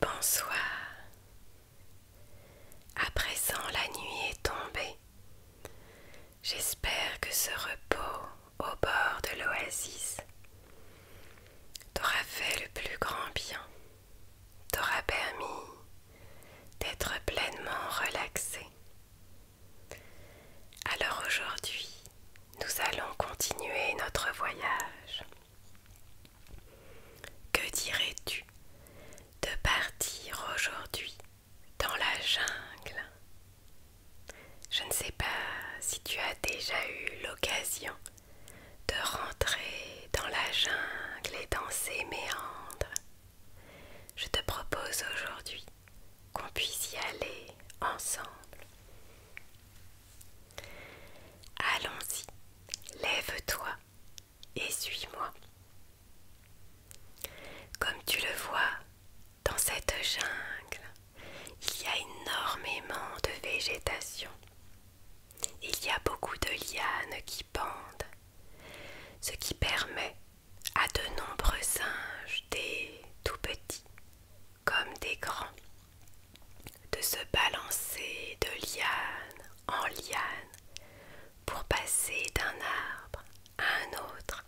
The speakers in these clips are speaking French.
Bonsoir. À présent la nuit est tombée. J'espère que ce repos au bord de l'oasis t'aura fait le plus grand bien, t'aura permis d'être pleinement relaxé. Alors aujourd'hui, nous allons continuer notre voyage. Que dirais-tu de partir aujourd'hui dans la jungle Je ne sais pas si tu as déjà eu l'occasion de rentrer dans la jungle et dans ses méandres. Je te propose aujourd'hui qu'on puisse y aller ensemble. Allons-y, lève-toi et suis-moi. Comme tu le vois, dans cette jungle, il y a énormément de végétation. Il y a beaucoup de lianes qui pendent, ce qui permet à de nombreux singes, des tout petits comme des grands, de se balancer de liane en liane pour passer d'un arbre à un autre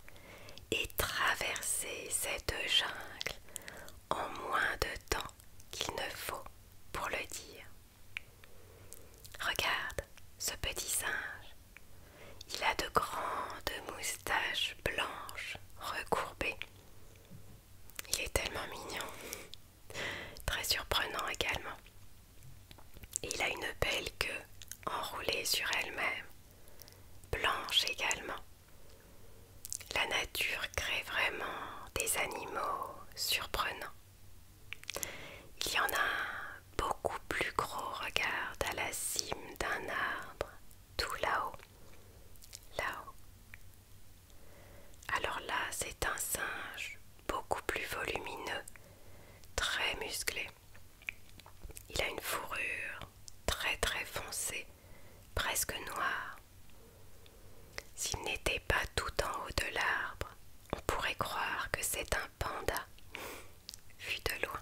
et traverser cette jungle en moins de temps qu'il ne faut pour le dire. Regarde ce petit singe. Il a de grandes moustaches blanches recourbées il est tellement mignon, très surprenant également. il a une belle queue enroulée sur elle-même, blanche également. La nature crée vraiment des animaux surprenants. Il y en a beaucoup plus gros, regarde, à la cime d'un arbre, tout là-haut là Alors là, c'est un singe beaucoup plus volumineux, très musclé. Il a une fourrure très très foncée, presque noire. S'il n'était pas tout en haut de l'arbre, on pourrait croire que c'est un panda, vu de loin.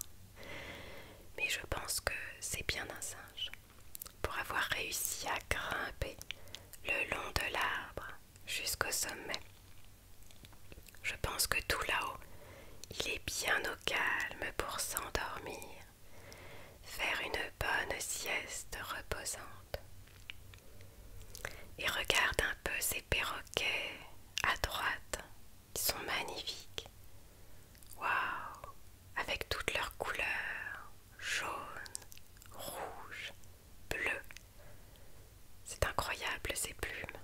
Mais je pense que c'est bien un singe pour avoir réussi à grimper le long de l'arbre jusqu'au sommet. Je pense que tout là-haut, il est bien au calme pour s'endormir, faire une bonne sieste reposante. Et regarde un peu ces perroquets à droite, ils sont magnifiques. Waouh, avec toutes leurs couleurs jaune, rouge, bleu. C'est incroyable ces plumes.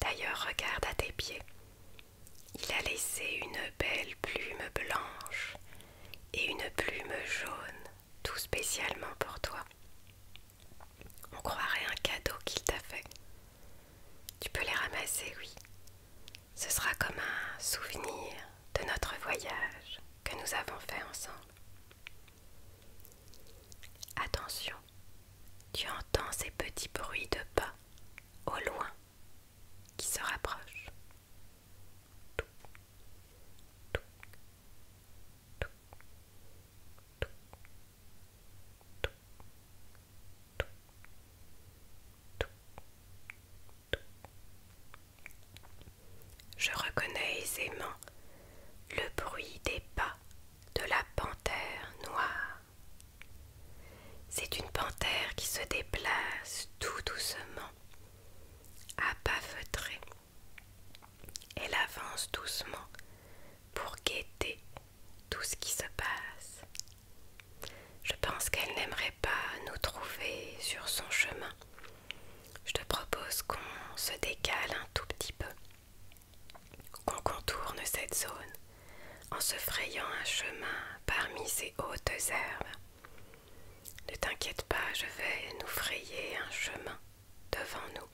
D'ailleurs, regarde à tes pieds. Il a laissé une belle plume blanche et une plume jaune, tout spécialement pour toi. On croirait un cadeau qu'il t'a fait. Tu peux les ramasser, oui. Ce sera comme un souvenir de notre voyage que nous avons fait ensemble. Attention, tu entends ces petits bruits de pas au loin qui se rapprochent. Je reconnais aisément le bruit des pas de la panthère noire. C'est une panthère qui se déplace tout doucement, à pas feutrés. Elle avance doucement pour guetter tout ce qui se passe. Je pense qu'elle n'aimerait pas nous trouver sur son chemin. Je te propose qu'on se décale un tout petit peu, qu'on contourne cette zone en se frayant un chemin parmi ces hautes herbes. Ne t'inquiète pas, je vais nous frayer un chemin devant nous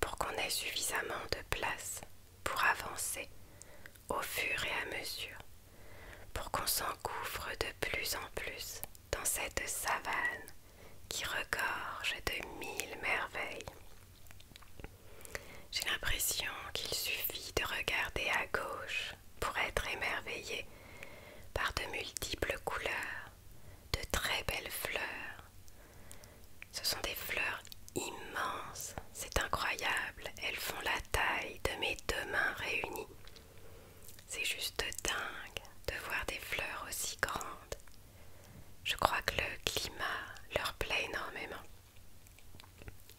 pour qu'on ait suffisamment de place pour avancer au fur et à mesure, pour qu'on s'engouffre de plus en plus dans cette savane qui regorge de mille merveilles. J'ai l'impression qu'il suffit de regarder à gauche pour être émerveillé par de multiples couleurs, de très belles fleurs, ce sont des fleurs immenses, c'est incroyable, elles font la taille de mes deux mains réunies. C'est juste dingue de voir des fleurs aussi grandes. Je crois que le climat leur plaît énormément.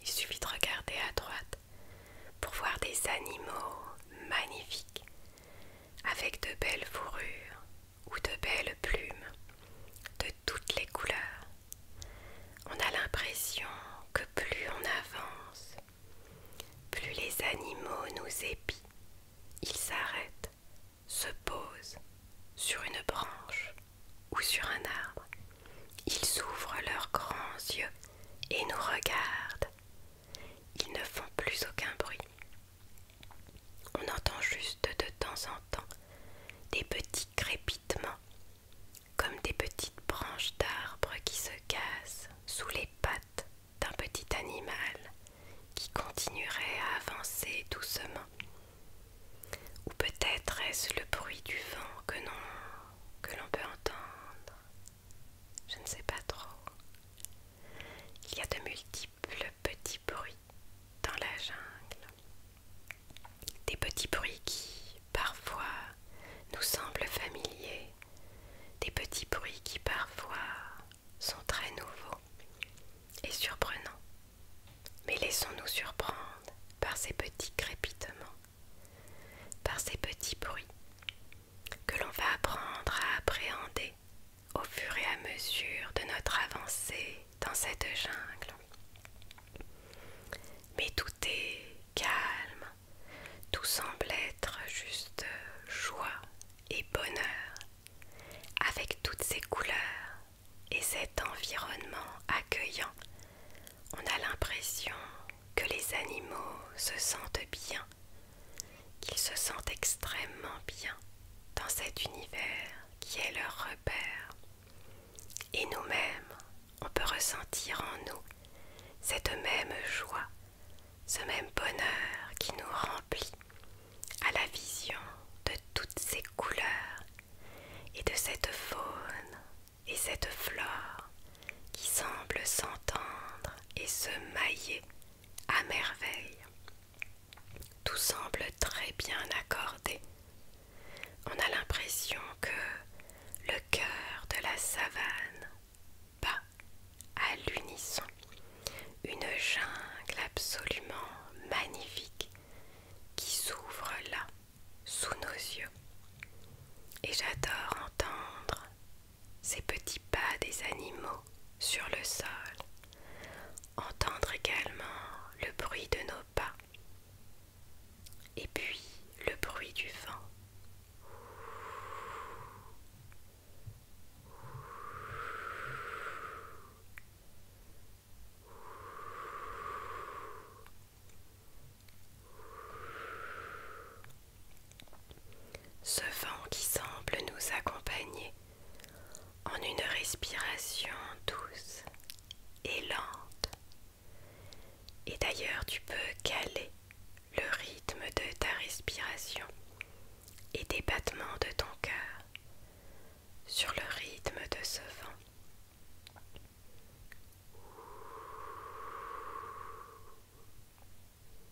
Il suffit de regarder à droite pour voir des animaux magnifiques avec de belles fourrures ou de belles plumes de toutes les couleurs. On a l'impression que plus on avance, plus les animaux nous épient. Ils s'arrêtent, se posent sur une branche ou sur un arbre. Ils ouvrent leurs grands yeux et nous regardent. Ils ne font plus aucun bruit. On entend juste de temps en temps des petits crépitements, comme des petites branches d'arbres qui se cassent sous les pattes d'un petit animal qui continuerait à avancer doucement. Ou peut-être est-ce le bruit du vent que l'on que peut entendre Je ne sais pas trop. Il y a de multiples le petit bruit dans la jungle. Des petits bruits qui, parfois, nous semblent familiers, des petits bruits qui, parfois, sont très nouveaux et surprenants. Mais laissons-nous surprendre par ces petits crépitements, par ces petits bruits que l'on va apprendre à appréhender au fur et à mesure de notre avancée dans cette jungle. Mais tout est calme, tout semble être juste joie et bonheur, avec toutes ces couleurs et cet environnement accueillant. On a l'impression que les animaux se sentent bien, qu'ils se sentent extrêmement bien dans cet univers qui est leur repère. Et nous-mêmes, on peut ressentir en nous cette même joie, ce même bonheur qui nous remplit à la vision de toutes ces couleurs et de cette faune et cette flore qui semblent s'entendre et se mailler à merveille. Tout semble très bien accordé. On a l'impression que le cœur de la savane bat à l'unisson. Une jungle absolument magnifique qui s'ouvre là, sous nos yeux. Et j'adore entendre ces petits pas des animaux sur le sol entendre également le bruit de nos pas et puis le bruit du vent. Ce vent qui semble nous accompagner en une respiration douce et lente. Et d'ailleurs, tu peux caler le rythme de ta respiration et des battements de ton cœur sur le rythme de ce vent.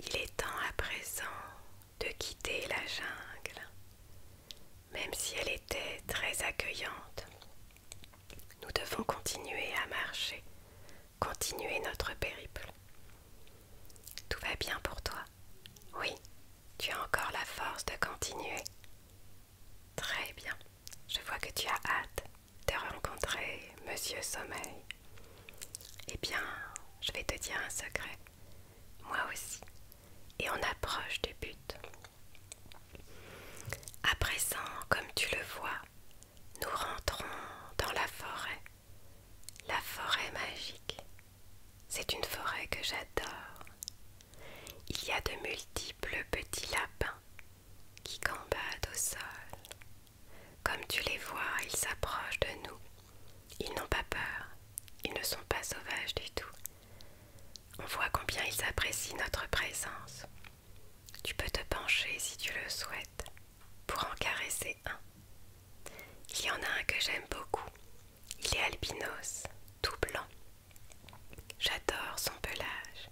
Il est temps à présent de quitter la jungle, même si elle était très accueillante. Nous devons continuer à marcher, continuer notre périple. Tout va bien pour toi oui, tu as encore la force de continuer. Très bien. Je vois que tu as hâte de rencontrer Monsieur Sommeil. Eh bien, je vais te dire un secret. Moi aussi. Et on approche du but. À présent, comme tu le vois, nous rentrons dans la forêt. La forêt magique. C'est une forêt que j'adore. Il y a de multiples petits lapins qui gambadent au sol. Comme tu les vois, ils s'approchent de nous. Ils n'ont pas peur. Ils ne sont pas sauvages du tout. On voit combien ils apprécient notre présence. Tu peux te pencher si tu le souhaites pour en caresser un. Il y en a un que j'aime beaucoup. Il est albinos, tout blanc. J'adore son pelage.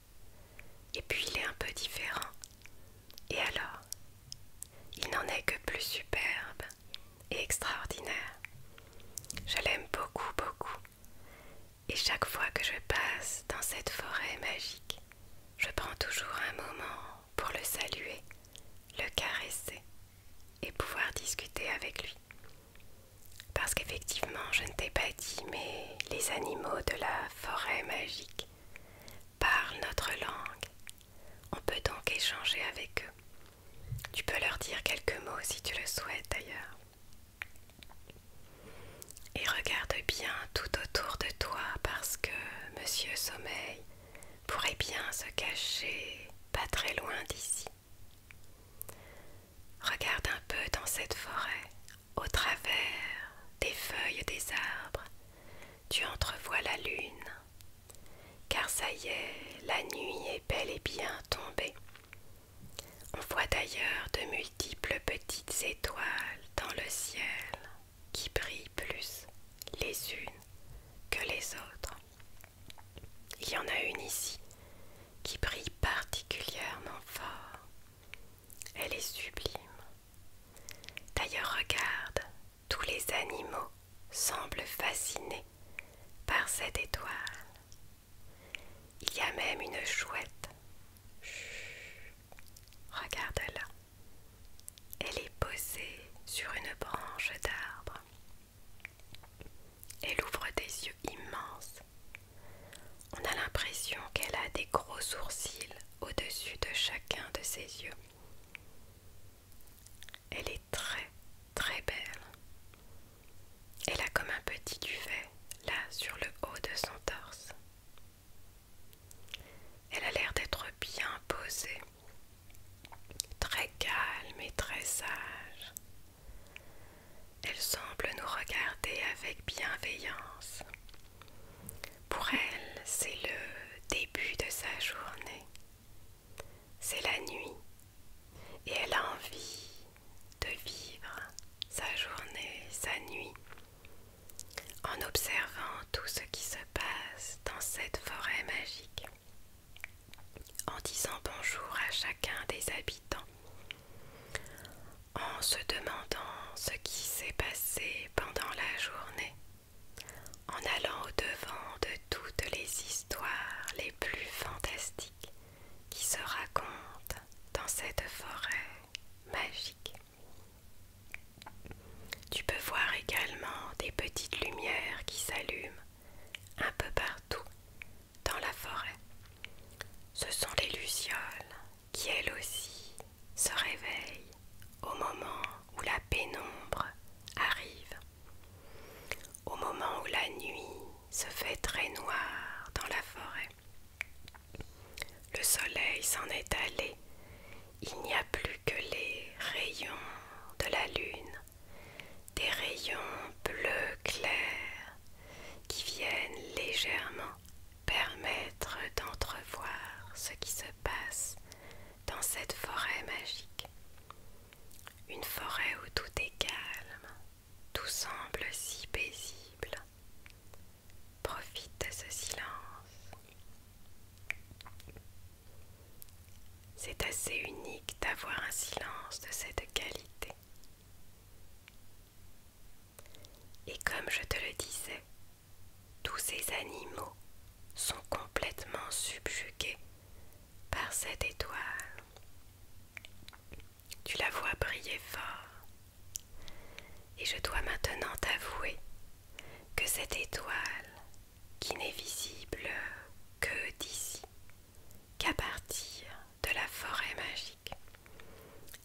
Et puis il est un peu différent. Et alors Il n'en est que plus superbe et extraordinaire. Je l'aime beaucoup, beaucoup. Et chaque fois que je passe dans cette forêt magique, je prends toujours un moment pour le saluer, le caresser et pouvoir discuter avec lui. Parce qu'effectivement, je ne t'ai pas dit, mais les animaux de la forêt magique parlent notre langue. On peut donc échanger avec eux. Tu peux leur dire quelques mots si tu le souhaites d'ailleurs. Et regarde bien tout autour de toi parce que Monsieur Sommeil pourrait bien se cacher pas très loin d'ici. Regarde un peu dans cette forêt, au travers des feuilles des arbres, tu entrevois la lune, car ça y est, la nuit est bel et bien tombée. On voit d'ailleurs de multiples petites étoiles dans le ciel qui brillent plus les unes que les autres. Il y en a une ici qui brille particulièrement fort. Elle est sublime. D'ailleurs, regarde, tous les animaux semblent fascinés par cette étoile. Il y a même une chouette. regarde-la. Elle est posée sur une branche d'arbre. Elle ouvre des yeux immenses. On a l'impression qu'elle a des gros sourcils au-dessus de chacun de ses yeux. Elle est très très belle. Elle a comme un petit duvet là sur le haut de son torse. Elle a l'air d'être bien posée très calme et très sage. Elle semble nous regarder avec bienveillance. Pour elle, c'est le début de sa journée. C'est la nuit et elle a envie de vivre sa journée, sa nuit en observant tout ce qui se passe dans cette forêt magique, en disant bonjour à chacun des habitants, en se demandant ce qui s'est passé pendant la journée, en allant au-devant de toutes les histoires les plus fantastiques qui se racontent dans cette forêt magique. Tu peux voir également des petites lumières qui s'allument un peu partout dans la forêt. Ce sont les lucioles qui elles aussi se réveillent au moment où la pénombre arrive, au moment où la nuit se fait très noire dans la forêt. Le soleil s'en est allé il n'y a plus que les rayons de la lune, des rayons bleu clair qui viennent légèrement permettre d'entrevoir ce qui se passe dans cette forêt magique. Une forêt où tout est calme, tout semble si paisible. Profite de ce silence. C'est assez unique d'avoir un silence de cette qualité. Et comme je te le disais, tous ces animaux sont complètement subjugués par cette étoile. Tu la vois briller fort et je dois maintenant t'avouer que cette étoile, qui n'est visible que d'ici, qu'à partir de la forêt magique,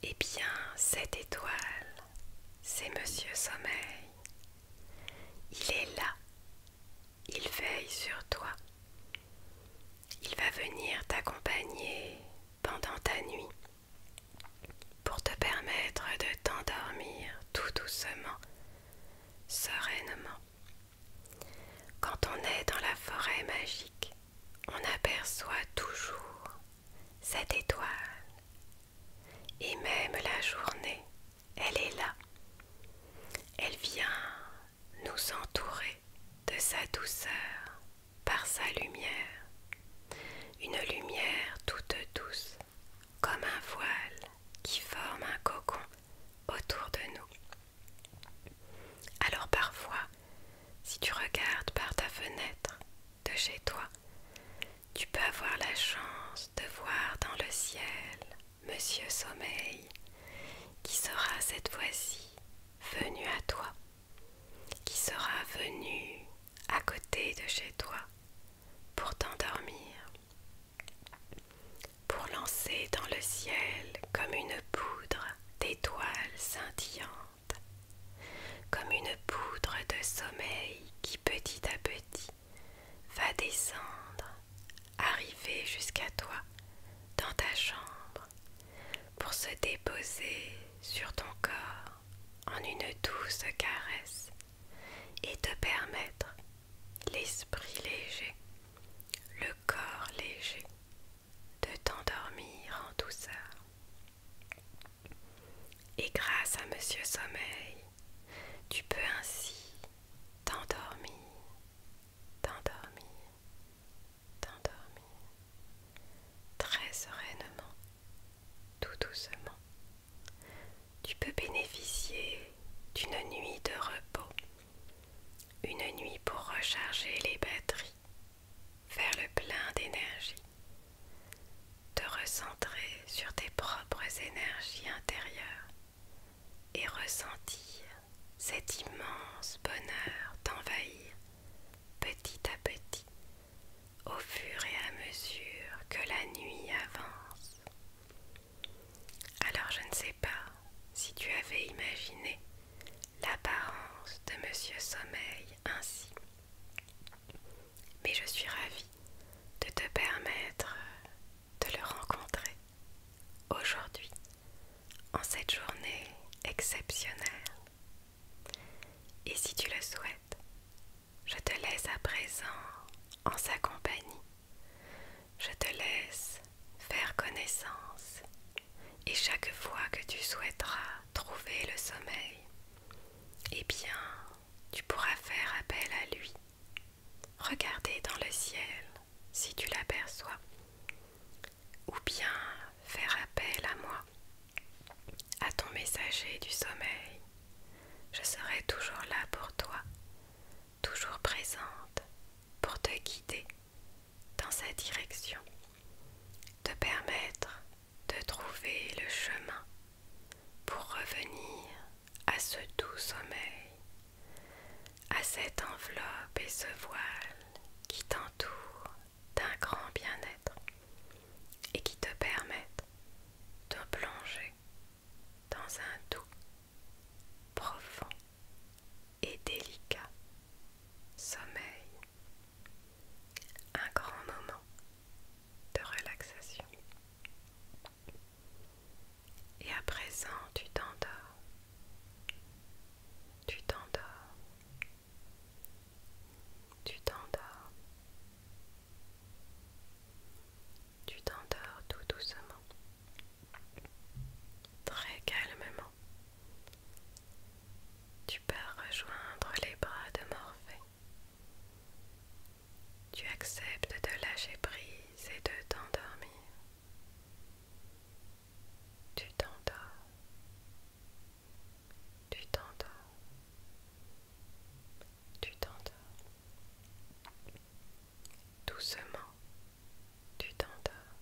eh bien cette étoile, c'est Monsieur Sommeil. Il est là, il veille sur toi. Il va venir t'accompagner pendant ta nuit pour te permettre de t'endormir tout doucement, sereinement. Quand on est dans la forêt magique, on aperçoit toujours cette étoile. Et même la journée, elle est là. Elle vient nous entourer de sa douceur par sa lumière, une lumière toute douce, comme un voile qui forme un cocon autour de nous. Alors parfois, si tu regardes par ta fenêtre de chez toi, tu peux avoir la chance de voir dans le ciel Monsieur Sommeil, qui sera cette fois-ci venu à toi, qui sera venu à côté de chez toi, pour t'endormir, pour lancer dans le ciel comme une poudre d'étoiles scintillantes, comme une poudre de sommeil qui petit à petit va descendre, arriver jusqu'à toi dans ta chambre, pour se déposer sur ton corps en une douce caresse et te permettre l'esprit léger, le corps léger de t'endormir en douceur. Et grâce à Monsieur Sommeil, tu peux ainsi t'endormir, t'endormir, t'endormir très sereinement, tout doucement. Tu peux bénéficier d'une nuit de repos, une nuit pour recharger les batteries, faire le plein d'énergie, te recentrer sur tes propres énergies intérieures et ressentir cet immense bonheur d'envahir petit à petit au fur et à mesure que la nuit avance. Alors je ne sais pas si tu avais imaginé l'apparence de Monsieur Sommeil ainsi, mais je suis ravie de te permettre de le rencontrer aujourd'hui en cette journée exceptionnelle. Et si tu le souhaites, je te laisse à présent en sa compagnie. Je te laisse faire connaissance et chaque fois que tu souhaiteras trouver le sommeil, eh bien, tu pourras faire appel à lui. Regarder dans le ciel si tu l'aperçois, ou bien faire appel à moi à ton messager du sommeil, je serai toujours là pour toi, toujours présente pour te guider dans sa direction, te permettre de trouver le chemin pour revenir à ce doux sommeil, à cette enveloppe et ce voile qui t'entoure d'un grand bien-être et qui te permettent de plonger dans un doux, profond et délicat sommeil. Un grand moment de relaxation. Et à présent, tu t'endors. Tu t'endors. Tu t'endors. Tu t'endors tout doucement. Très calmement. Tu peux rejoindre les bras de Morphée. Tu acceptes de lâcher prise et de t'endormir. Tu t'endors. Tu t'endors. Tu t'endors. Doucement, tu t'endors.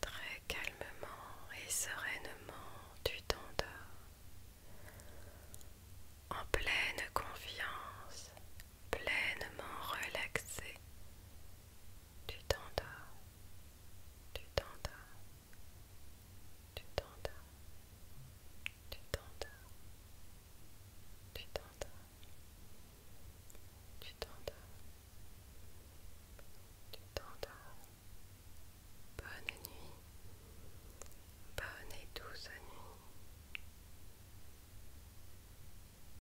Très calmement et sereinement, tu t'endors. En pleine confiance, pleinement relaxé, tu t'endors, tu t'endors, tu t'endors, tu t'endors, tu t'endors, tu t'endors, tu Bonne nuit, bonne et douce nuit.